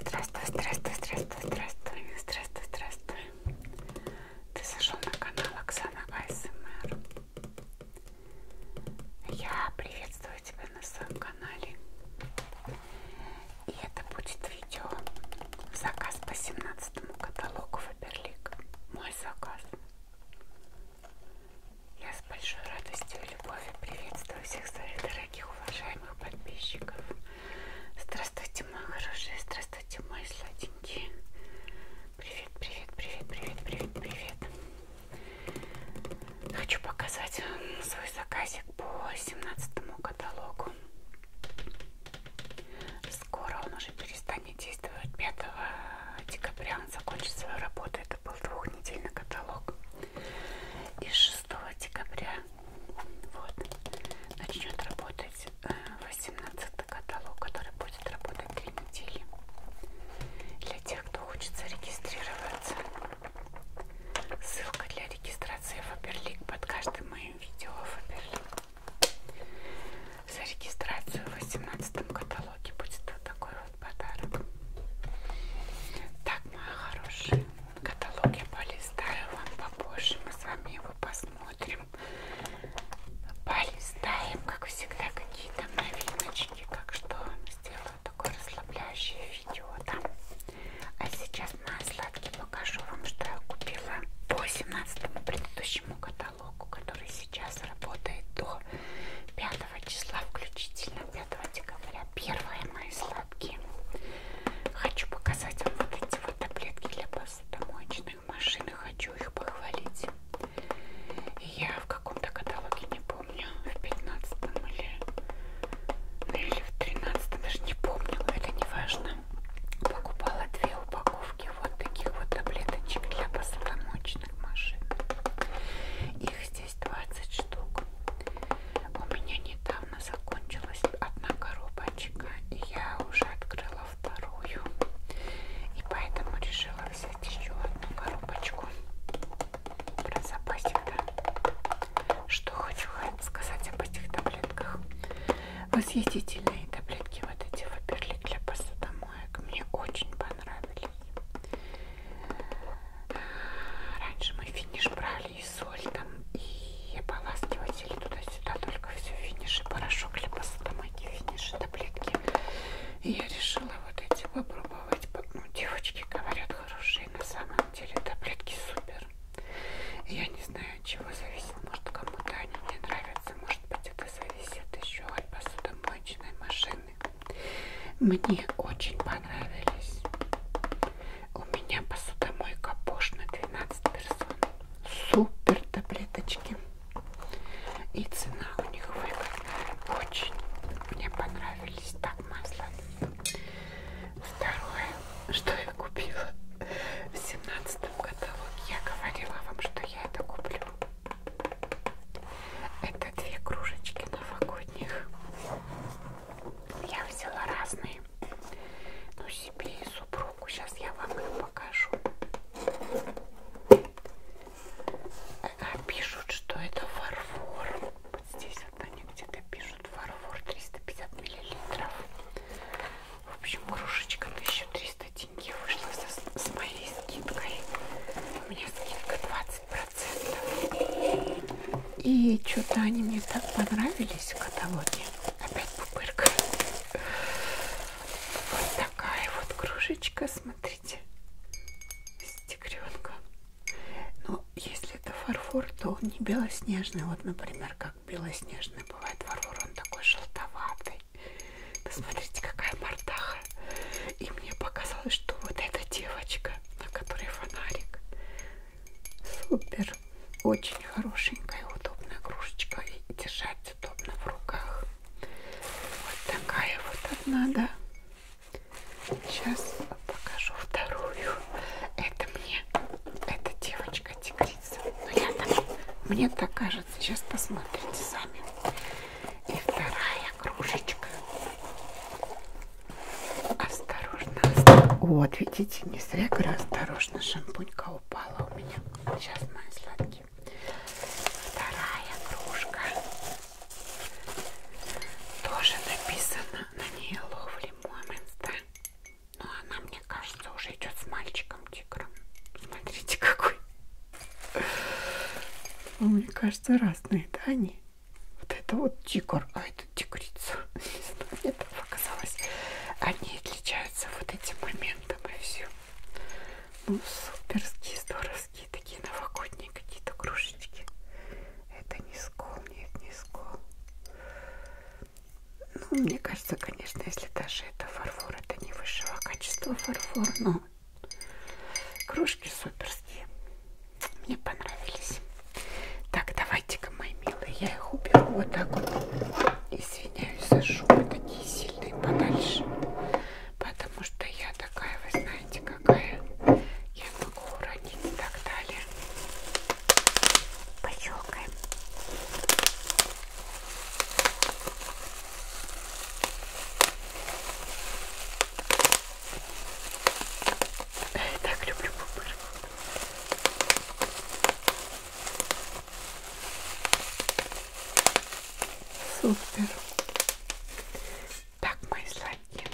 Здравствуй, здравствуй, здравствуй, здравствуй, здравствуй, здравствуй. Ты зашел на канал Оксана АСМР. Я приветствую тебя на своем канале. И это будет видео заказ по 17 каталогу Фаберлик. Мой заказ. Я с большой радостью и любовью приветствую всех своих дорогих, уважаемых подписчиков. Здравствуйте, мои хорошие, здравствуйте, мои сладенькие. Привет, привет, привет, привет, привет, привет. Хочу показать свой заказик по 17 каталогу. Скоро он уже перестанет действовать 5 декабря он закончит свою работу. Это был двухнедельный каталог. И 6 декабря вот, начнет работать 18 э, каталог, который будет работать 3 недели. Для тех, кто хочет зарегистрироваться, ссылка для регистрации Фаберлик под каждым моим видео Фаберлик. За регистрацию в 18 каталоге будет вот такой в подарок. Так, мои хорошие, каталог я полистаю вам попозже, мы с вами его посмотрим. Полистаем, как всегда, какие-то новиночки, как что сделаю такое расслабляющее видео, да? А сейчас, мои сладкие, покажу вам, что я купила по 17 предыдущему каталогу, который сейчас работает до 5 числа включительно 5 декабря первые мои сладкие хочу показать вам вот эти вот таблетки для посудомоечных машин и хочу их похвалить я в каком-то каталоге не помню в 15 или ну, или в 13 даже не помню это не важно покупала две упаковки вот таких вот таблеточек для посудомоечных машин их здесь здесь 20 штук. У меня недавно закончилась одна коробочка, и я уже открыла вторую. И поэтому решила взять еще одну коробочку. Про запасик, да? Что хочу сказать об этих таблетках. Восхитительные таблетки вот эти выберли для посудомоек. Мне очень понравились. Раньше мы финиш брали и соль там, и ополаскиватели туда-сюда, только все финиши, порошок, либо сатамаки, финиши, таблетки. И я решила вот эти попробовать. Ну, девочки говорят хорошие, на самом деле таблетки супер. Я не знаю, от чего зависит. Может, кому-то они не нравятся. Может быть, это зависит еще от посудомоечной машины. Мне очень понравились. У меня посудомойка Bosch на 12 персон. Супер таблеточки. И цена у них выгодная. Очень мне понравились. Так, масло. Второе, что я купила в семнадцатом каталоге. Я говорила вам, что я это куплю. Это две кружечки новогодних. Я взяла разные. Ну, себе и супругу. Сейчас я вам их покажу. Э, а, пишут, что это фарфор. Вот здесь вот они где-то пишут фарфор 350 миллилитров. В общем, кружечка 1300 деньги вышла со, с моей скидкой. У меня скидка 20 15%. И что-то они мне так понравились в каталоге. Опять пупырка. Вот такая вот кружечка, смотрите. С тигренком. Но если это фарфор, то он не белоснежный. Вот, например, как белоснежный бывает фарфор, он такой желтоватый. Посмотрите, какая мордаха. И мне показалось, что вот эта девочка, на которой фонарик, супер. Очень хорошенькая, удобная игрушечка. И держать удобно в руках. Вот такая вот одна, да. Сейчас покажу вторую. Это мне, это девочка-тигрица. Но ну, я там, мне так кажется. Сейчас посмотрите сами. И вторая кружечка. Осторожно, осторожно. Вот, видите, не зря говорю, осторожно, шампунька упала у меня. Сейчас, мои сладкие. Вторая кружка. Тоже написано на ней ловли момент, да? Но ну, она, мне кажется, уже идет с мальчиком-тигром. Смотрите, какой ну, мне кажется, разные, да, они? Вот это вот тигр, а это тигрица. Не знаю, мне так показалось. Они отличаются вот этим моментом и все. Ну, суперские, здоровские, такие новогодние какие-то кружечки. Это не скол, нет, не скол. Ну, мне кажется, конечно, если даже это фарфор, это не высшего качества фарфор, но Кружки суперские. Мне понравились. Так, давайте-ка, мои милые, я их уберу вот так вот. Извиняюсь за шумы такие сильные подальше. Потому что я такая, вы знаете, какая. Я могу уронить и так далее. Пощелкаем. Я так люблю пупырку. Супер. Так, мои сладкие.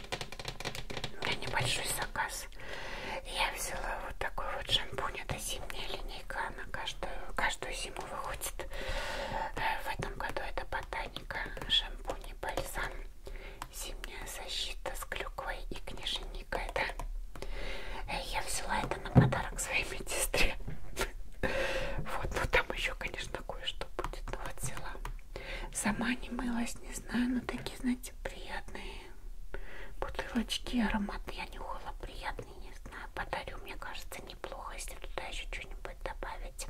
У меня небольшой заказ. Я взяла вот такой вот шампунь. Это зимняя линейка она каждую, каждую зиму выходит. В этом году это ботаника, шампунь и бальзам, зимняя защита с клюквой и книженикой. Да? Э, я взяла это на подарок своей медсестре. Вот, ну там еще, конечно, кое-что будет. Но вот взяла. Сама не мылась, не знаю, но такие, знаете, приятные бутылочки, аромат я нюхала приятный камни, не знаю, подарю, мне кажется, неплохо, если туда еще что-нибудь добавить.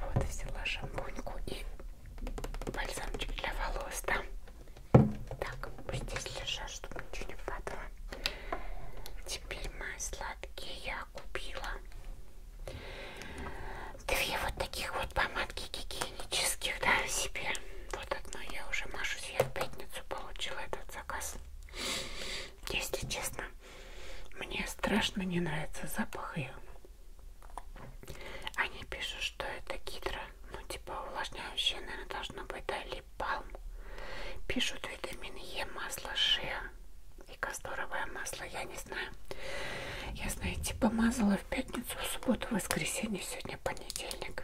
Вот, взяла шампуньку и бальзамчик для волос, да. Так, пусть здесь лежат, чтобы ничего не падало. Теперь мои сладкие я купила. Две вот таких вот помадки гигиенических, да, себе. Вот одну я уже мажусь, я в пятницу получила этот заказ. Если честно, мне страшно не нравится запах ее. Они пишут, что это гидро, ну типа увлажняющее, наверное, должно быть, да, либо палм. Пишут витамин Е, масло шиа и касторовое масло, я не знаю. Я, знаете, типа, помазала в пятницу, в субботу, в воскресенье, сегодня понедельник.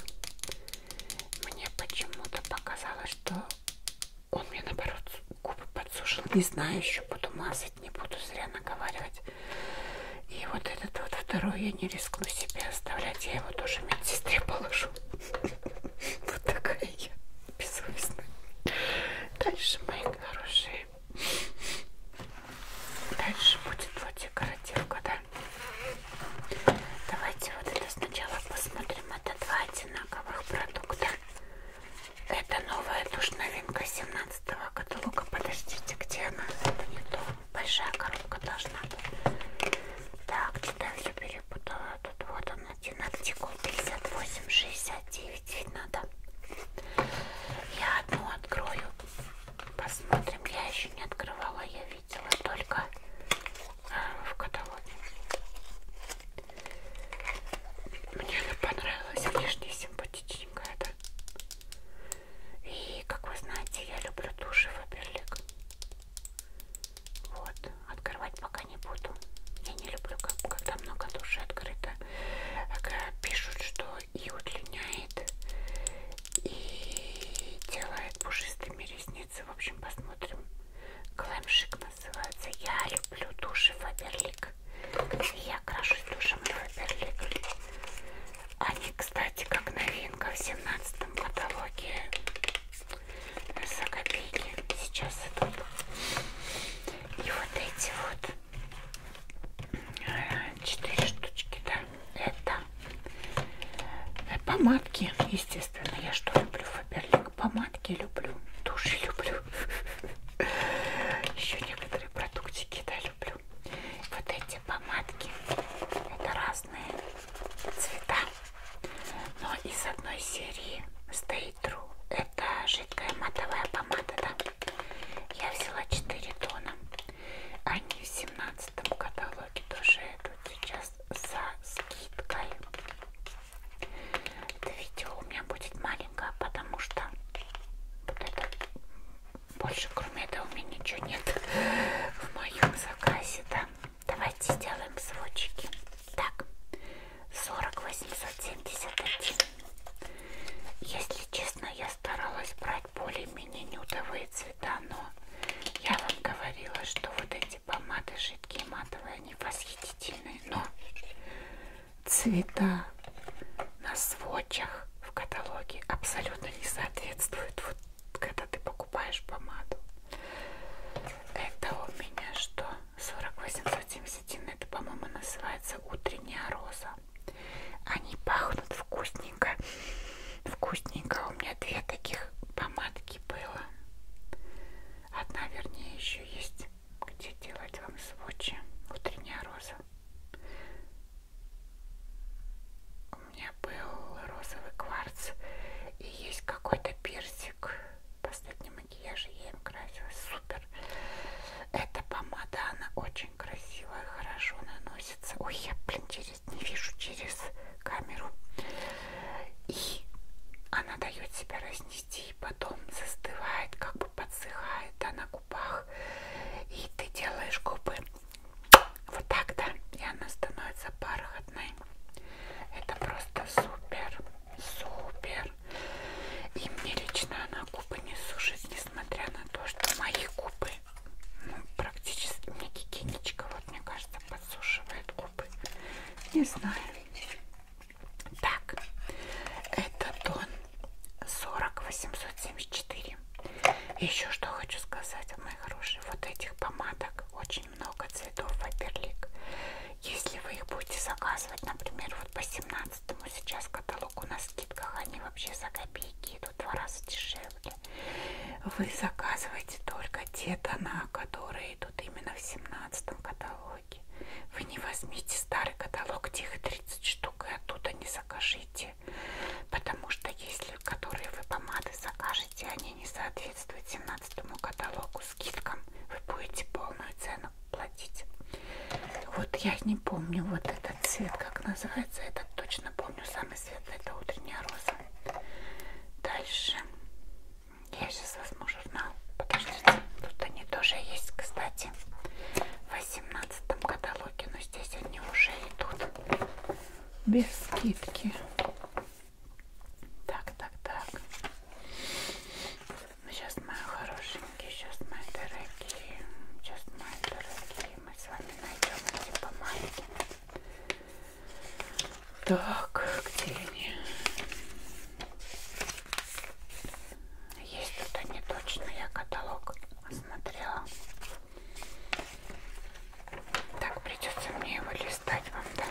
Мне почему-то показалось, что он мне наоборот губы подсушил. Не знаю, еще буду мазать, не буду зря наговаривать. И вот этот вот второй я не рискну себе оставлять. Я его тоже медсестре положу. Вот такая я бессовестная. Дальше, мои хорошие. Дальше будет вот декоративка, да? Давайте вот это сначала посмотрим. Это два одинаковых продукта. Это новая тушь новинка 17 каталога. Подождите, где она? Это не то. Большая коробка должна быть. Так, что-то все перепутала. Тут вот он один артикул 5869. Видно, да? Я одну открою. Посмотрим. Я еще не открывала. Я видела видела только э, в каталоге. Мне она понравилась, внешне симпатичненькая, да? И, как вы знаете, я люблю туши Фаберлик. Вот, открывать пока не буду. Я не люблю, когда много туши открыто. Э, пишут, что и удлиняет, и делает пушистыми ресницами пятницы, в общем, посмотрим. Клэмшик называется. Я люблю души Фаберлик. Я крашусь душем Фаберлик. Они, кстати, как новинка в семнадцатом каталоге за копейки сейчас идут. И вот эти вот э, четыре штучки, да, это Помадки, естественно, я что люблю, Фаберлик. Помадки люблю, туши люблю. Еще некоторые продуктики, да, люблю. Вот эти помадки, это разные цвета. Но из одной серии Stay True. Это жидкая матовая помада, да. Я взяла 4 тона. Они в семнадцатом каталоге тоже идут. Сейчас сейчас со скидкой. Это видео у меня будет маленькое, потому что вот это больше, кроме этого, у меня ничего нет в моем заказе, да. Давайте сделаем сводчики. Так, 40 871. Если честно, я старалась брать более-менее нюдовые цвета цвета, но я вам говорила, что вот эти помады жидкие матовые, они восхитительные, но цвета на сводчах в каталоге абсолютно не соответствуют, вот когда ты покупаешь помаду. Это у меня что? 4871, это, по-моему, называется утренняя роза. Они пахнут вкусненько вкусненько. У меня две таких помадки было. Одна, вернее, еще есть, где делать вам сводчи. Утренняя роза. У меня был розовый кварц. И есть какой-то персик. Последний макияж я им красила. Супер. Эта помада, она очень красивая, хорошо наносится. Ой, я, блин, через через, не вижу через камеру. И она дает себя разнести, и потом застывает, как бы подсыхает да, на губах. И ты делаешь губы вот так, да, и она становится бархатной. Это просто супер, супер. И мне лично она губы не сушит, несмотря на то, что мои губы ну, практически мне кикинечка, вот мне кажется, подсушивает губы. Не знаю. Так, это тон 40874. Еще что хочу сказать, мои хорошие, вот этих помадок очень много цветов ваперлик. Если вы их будете заказывать, например, вот по 17 сейчас каталогу на скидках, они вообще за копейки идут в два раза дешевле упаковке. Вы заказываете только те тона, которые идут именно в 17 каталоге. Вы не возьмите старый каталог, где их 30 штук, и оттуда не закажите. Потому что если которые вы помады закажете, они не соответствуют 17 каталогу скидкам, вы будете полную цену платить. Вот я не помню вот этот цвет, как называется, этот точно помню, самый рассвет это утренняя роза. Дальше я сейчас возьму журнал. Подождите, тут они тоже есть, кстати, в 18 каталоге, но здесь они уже идут без скидки. Так, так, так. Сейчас ну, мои хорошенькие, сейчас мои дорогие, сейчас мои дорогие мы с вами найдем эти помадки. Так, где они? Есть тут они точно, я каталог смотрела. Так, придется мне его листать вам, да?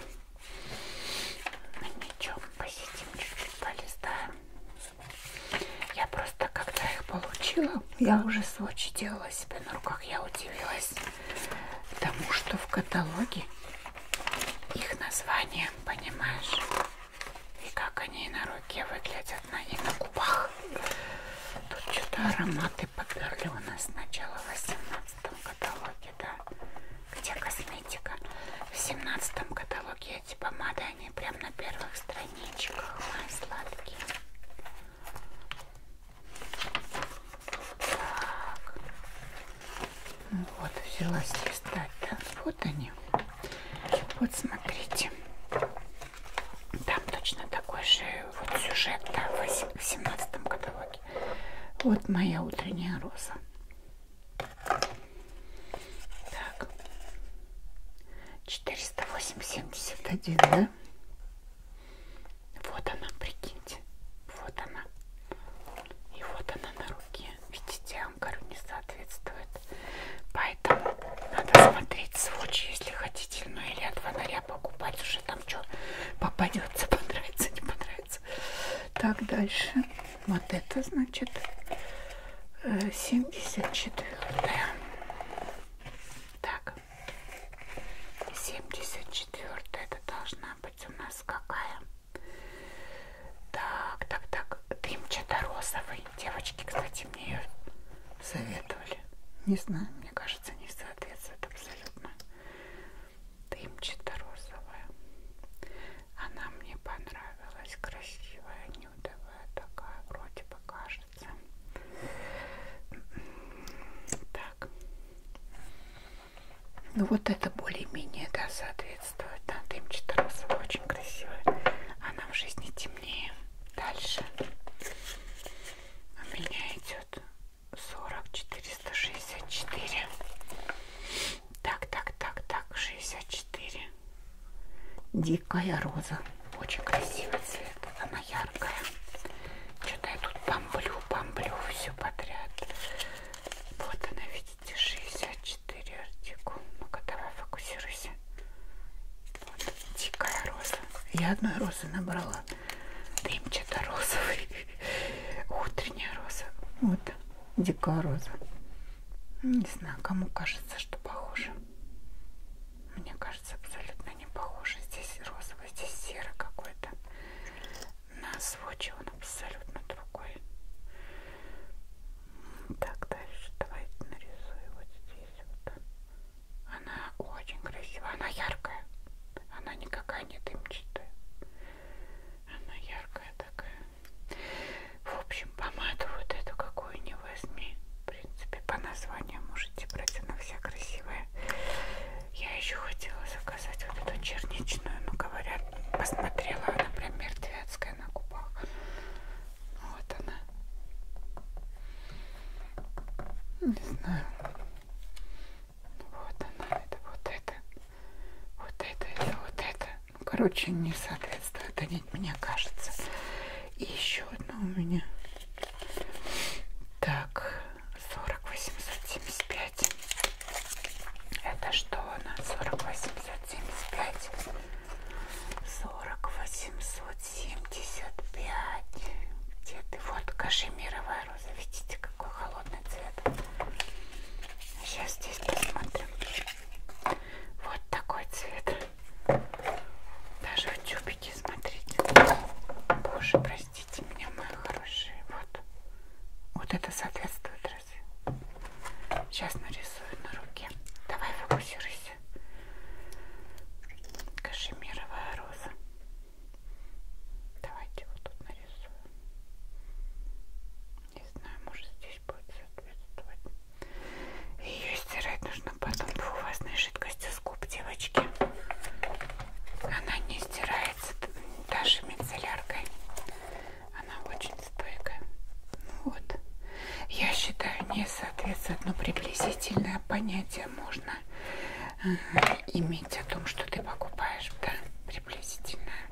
Ничего, посидим чуть-чуть, полистаем. Я просто, когда их получила, я уже сводчи делала держала себя на руках, я удивилась тому, что в каталоге их название, понимаешь, и как они на руке выглядят, на, и на губах. Тут что-то ароматы поперли у нас сначала в 18 каталоге, да, где косметика. В 17 каталоге эти помады, они прям на первых страничках, мои сладкие. Ну, вот, взялась листать. Да? Вот они. Вот смотрите. Там точно такой же вот сюжет да, в 17 каталоге. Вот моя утренняя роза. Так. 408,71, да? Вот она, прикиньте. Вот она. И вот она на руке. Видите, я вам говорю, не соответствует. Поэтому надо смотреть сводч, если хотите. Ну или от фонаря покупать. Уже там что попадется, понравится, не понравится. Так, дальше. Вот это, значит, 74 э, -е. Так, 74 это должна быть у нас какая? Так, так, так, дымчато-розовый. Девочки, кстати, мне ее советовали. Не знаю, мне кажется, не соответствует абсолютно. Дымчато-розовая. Она мне понравилась. Красивая, нюдовая такая. Вроде бы кажется ножницы. Так. Ну вот это более-менее, да, соответствует. Да, дымчатая розовая, очень красивая. Она в жизни темнее. Дальше у меня идет 40 464. Так, так, так, так, 64. Дикая роза. Очень красивый цвет. Она яркая. Что-то я тут бомблю, бомблю все подряд. Вот она, видите, 64 артикул. Ну-ка, давай фокусируйся. Вот, дикая роза. Я одной розы набрала. Дымчато-розовый. Утренняя роза. Вот, дикая роза. Не знаю, кому кажется, что похоже. Мне кажется, абсолютно не похоже. Здесь розовый, здесь серый какой-то. На сводче он абсолютно другой. Так, дальше давайте нарисую вот здесь вот. Она очень красивая, она яркая. Она никакая не дымчатая. Она яркая такая. В общем, помаду вот эту какую не возьми. В принципе, по названию можете брать, она вся красивая. Я еще хотела заказать вот эту черничную, но говорят, посмотрела, она прям мертвецкая на губах. Вот она. Не знаю. Вот она, это вот это. Вот это, это вот это короче, не соответствует они, мне кажется. И еще одна у меня. Так, 40875. Это что она? 40875. 40875. Где ты? Вот кашемировая роза. Видите, какой холодный цвет. Сейчас здесь посмотрим. Вот такой цвет. Даже утюбики, смотрите. Боже, простите меня, мои хорошие. Вот. Вот это соответствует разве? Сейчас нарисую на руке. Давай фокусируйся. Кашемировая роза. Давайте вот тут нарисую. Не знаю, может сделать здесь будет соответствовать. Ее стирать нужно потом двухвазной жидкостью с губ, девочки. Она не стирается даже мицелляркой. Она очень стойкая. Ну вот. Я считаю, не соответствует, но приблизительное понятие можно э, иметь о том, что ты покупаешь, да, приблизительное.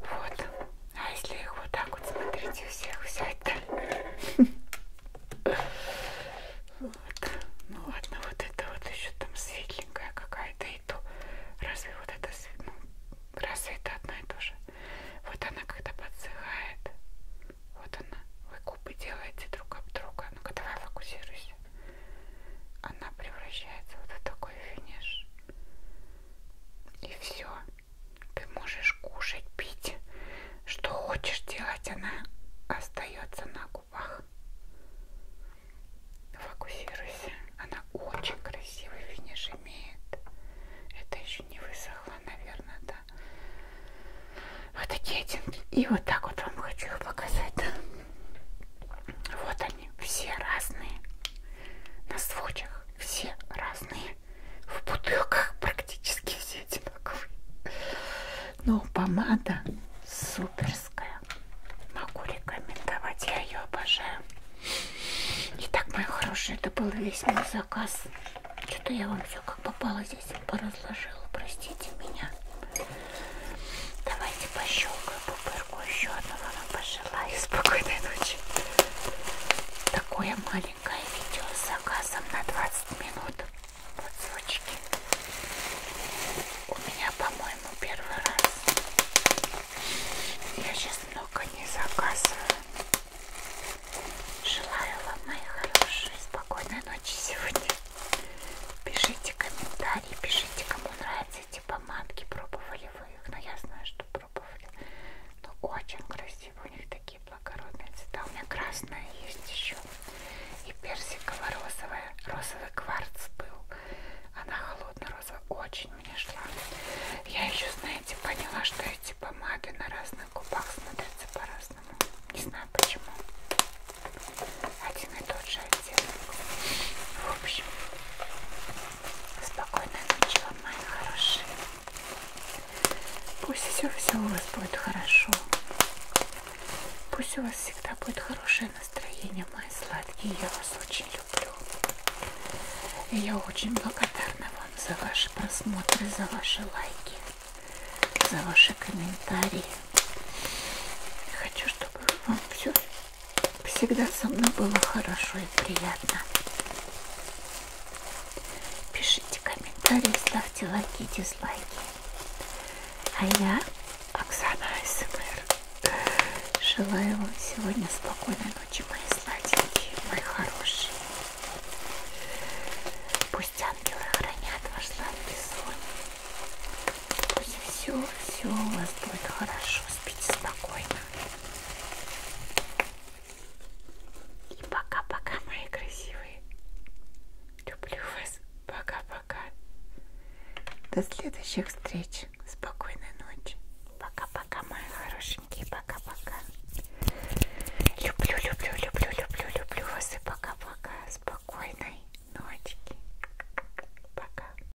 Вот. А если их вот так вот смотрите у всех взять-то? Вот. Ну ладно, вот это вот еще там светленькая какая-то и то. Разве вот это ну, разве это одно и то же? Вот она когда подсыхает. Вот она. Вы губы делаете друг об друга. Ну-ка давай фокусируйся. Она превращается вот в такой финиш. И все. Ты можешь кушать, пить, что хочешь делать, она остается на губах. Фокусируйся. Она очень красивый финиш имеет. Это еще не высохло, наверное, да. Вот такие оттенки. И вот так вот вам хочу их показать. Да? Вот они, все разные на случаях все разные, в бутылках практически все одинаковые. Но помада суперская, могу рекомендовать, я ее обожаю. Итак, мои хорошие, это был весь мой заказ. Что-то я вам все как попало здесь поразложила, простите меня. Давайте пощелкаю, попробуем другую еще одну вам пожелаю спокойной ночи. Такое маленькое видео с заказом на 20 минут. Вот звучки. У меня, по-моему, первый раз. Я сейчас много не заказываю. Желаю вам, мои хорошие, спокойной ночи сегодня. Пишите комментарии, пишите, кому нравятся эти типа, помадки, пробовали вы их. Но я знаю, что пробовали. Но ну, очень красиво, у них такие благородные цвета. У меня красная есть еще и персиково-розовая. Розовый кварц был. Она холодно-розовая. Очень мне шла. Я еще, знаете, поняла, что эти помады на разных губах смотрятся по-разному. Не знаю почему. Один и тот же оттенок. В общем, Спокойной ночи вам, мои хорошие. Пусть все, все у вас будет хорошо. Пусть у вас всегда будет хорошее настроение, мои сладкие. Я вас очень люблю. И я очень благодарна вам за ваши просмотры, за ваши лайки, за ваши комментарии. Хочу, чтобы вам все Всегда со мной было хорошо и приятно. Пишите комментарии, ставьте лайки и дизлайки. А я, Оксана АСМР, желаю вам сегодня спокойной ночи, мои сладенькие, мои хорошие. Пусть ангелы хранят ваш сладкий сон. Пусть все, все у вас будет хорошо спите спокойно. И пока-пока, мои красивые. Люблю вас. Пока-пока. До следующих встреч. Спокойной ночи. Пока-пока, мои хорошенькие. Пока-пока. Люблю, люблю, люблю, люблю, люблю вас. И пока-пока. Спокойной ночи. Пока.